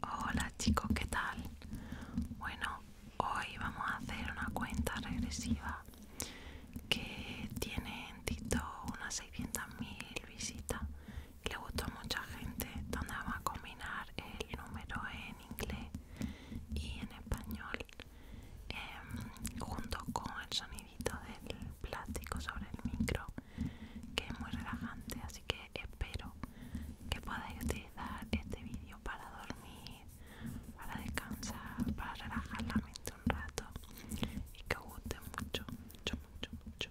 Hola chicos, ¿qué tal? Bueno, hoy vamos a hacer una cuenta regresiva que tiene en Tito unas 600.000 visitas le gustó a mucha gente donde vamos a combinar el número en inglés y en español em, junto con el sonidito del plástico sobre el micro que es muy relajante así que espero que podáis utilizar este vídeo para dormir para descansar para relajar la mente un rato y que os guste mucho mucho mucho mucho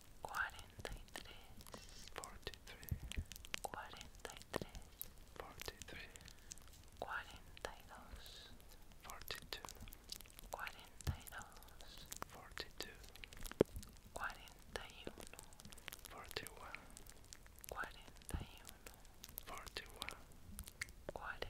forty three, forty three, forty two, forty two, forty one, forty one, cuarenta.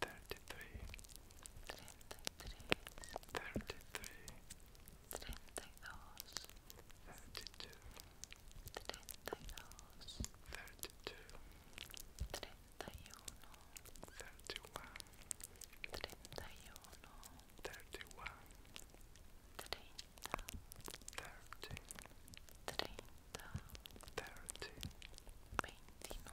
thirty-three, thirty-three, thirty-two, thirty-two, thirty-one, thirty-one, thirty, thirty, 29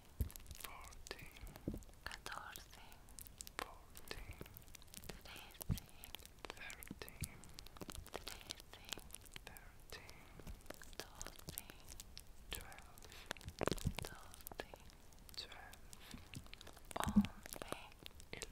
fourteen, fourteen, trece, thirteen, thirteen, doce, twelve, twelve, eleven, eleven, ten.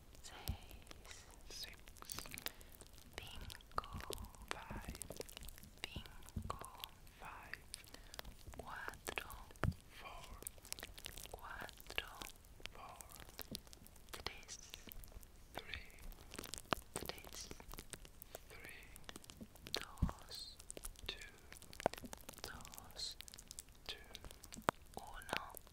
seis, six, cinco, five, cinco, five, four, four, three, three, two, two, uno.